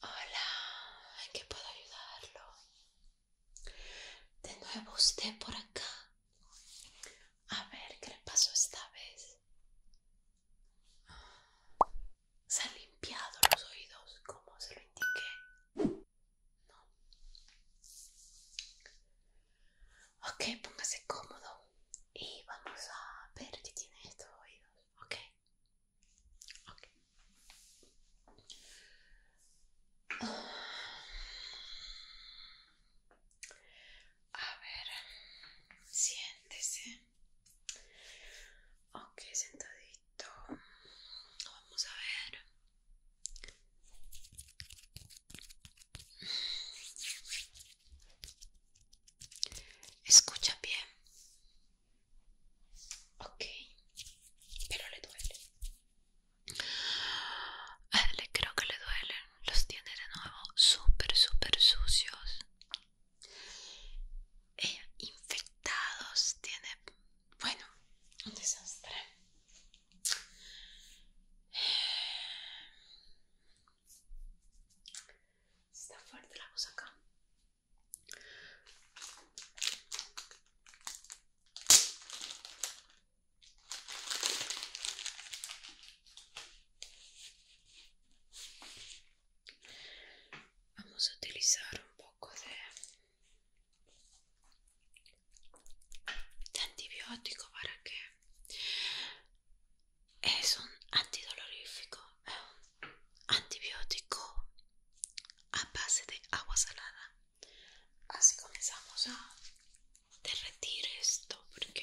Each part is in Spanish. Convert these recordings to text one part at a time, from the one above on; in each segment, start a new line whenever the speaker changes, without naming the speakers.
Hola, ¿en qué puedo ayudarlo? De nuevo usted por acá. A ver, ¿qué le pasó esta vez? Se han limpiado los oídos como se lo indiqué. Ok, póngase cómodo y vamos a ver qué tiene estos oídos. Ok. A ver, siéntese ok sentadito vamos a ver escucha bien ok pero le duele ah, le creo que le duelen los tiene de nuevo súper súper sucios infectados, tiene, bueno, un desastre. Está fuerte la cosa acá. Vamos a utilizar un poco de, antibiótico para que es un antidolorífico, es eh, un antibiótico a base de agua salada. Así comenzamos a derretir esto porque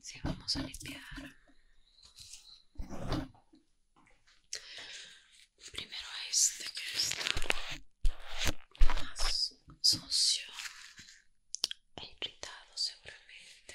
Si vamos a limpiar. Primero este que está más sucio e irritado seguramente.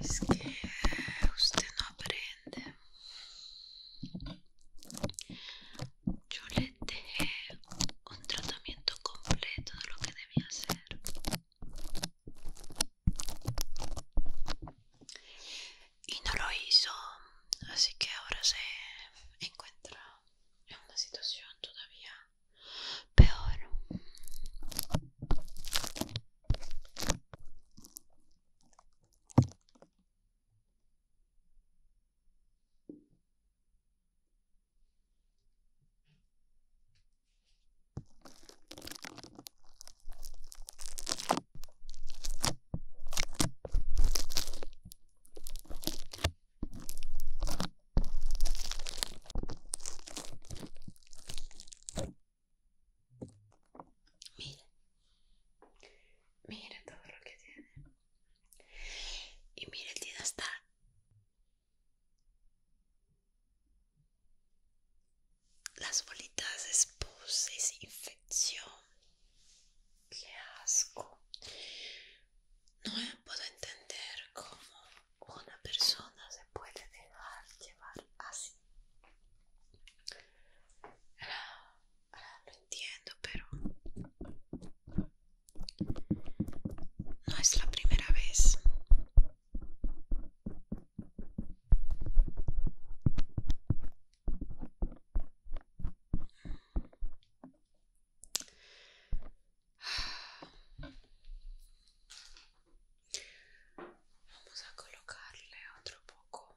Es que usted no aprende. Yo le dejé un tratamiento completo de lo que debía hacer. Y no lo hizo, así que ahora se encuentra è una situación todavía peor. Mire, mire todo lo que tiene. Y mire el día está. Las bolitas de infección, Qué asco. No puedo entender cómo una persona se puede dejar llevar así. lo entiendo, pero no es la primera vez. Vamos a colocarle otro poco.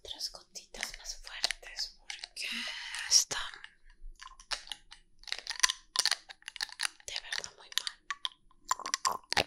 Otras gotitas más fuertes porque está de verdad muy mal.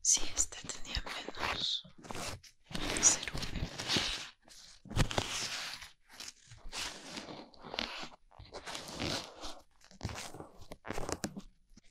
Sí, este tenía menos cerúmen.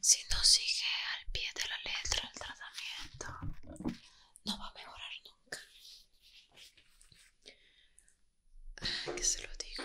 Si no sigue al pie de la letra el tratamiento, no va a mejorar nunca. Ah, que se lo digo.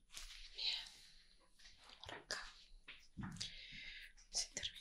Bien, por acá. Si terminamos.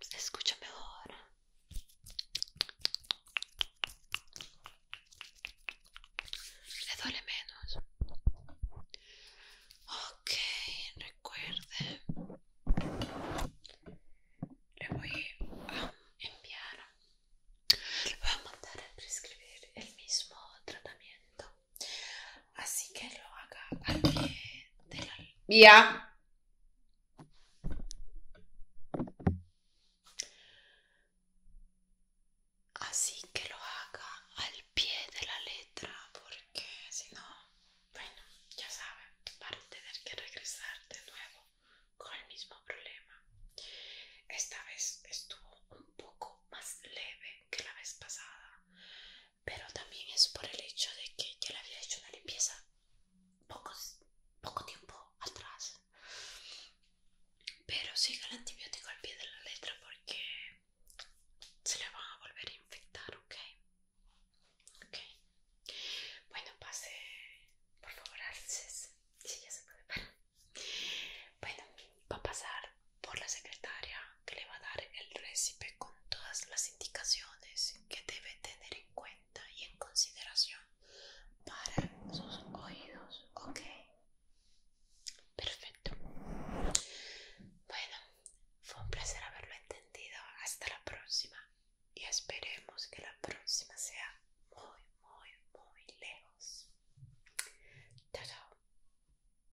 Se escucha mejor. Le duele menos. Ok, recuerde. Le voy a enviar. Le voy a mandar a prescribir el mismo tratamiento Así que lo haga al pie de la Así que lo haga al pie de la letra, porque si no, bueno, ya saben, para tener que regresar de nuevo con el mismo problema. Esta vez estuvo un poco más leve que la vez pasada, pero también es por el hecho de que ya le había hecho una limpieza poco tiempo atrás. Pero siga el antibiótico al pie de la letra porque se le van a volver a infectar, ¿ok? Ok. Bueno, pase, por favor, Si ya se puede Bueno, va a pasar por la secretaria que le va a dar el récipe con todas las indicaciones que debe tener en cuenta y en consideración para sus oídos, ¿ok? Perfecto. Bueno, fue un placer haberlo entendido. Hasta la próxima y esperemos que la próxima sea muy, muy, muy lejos. Chao, chao.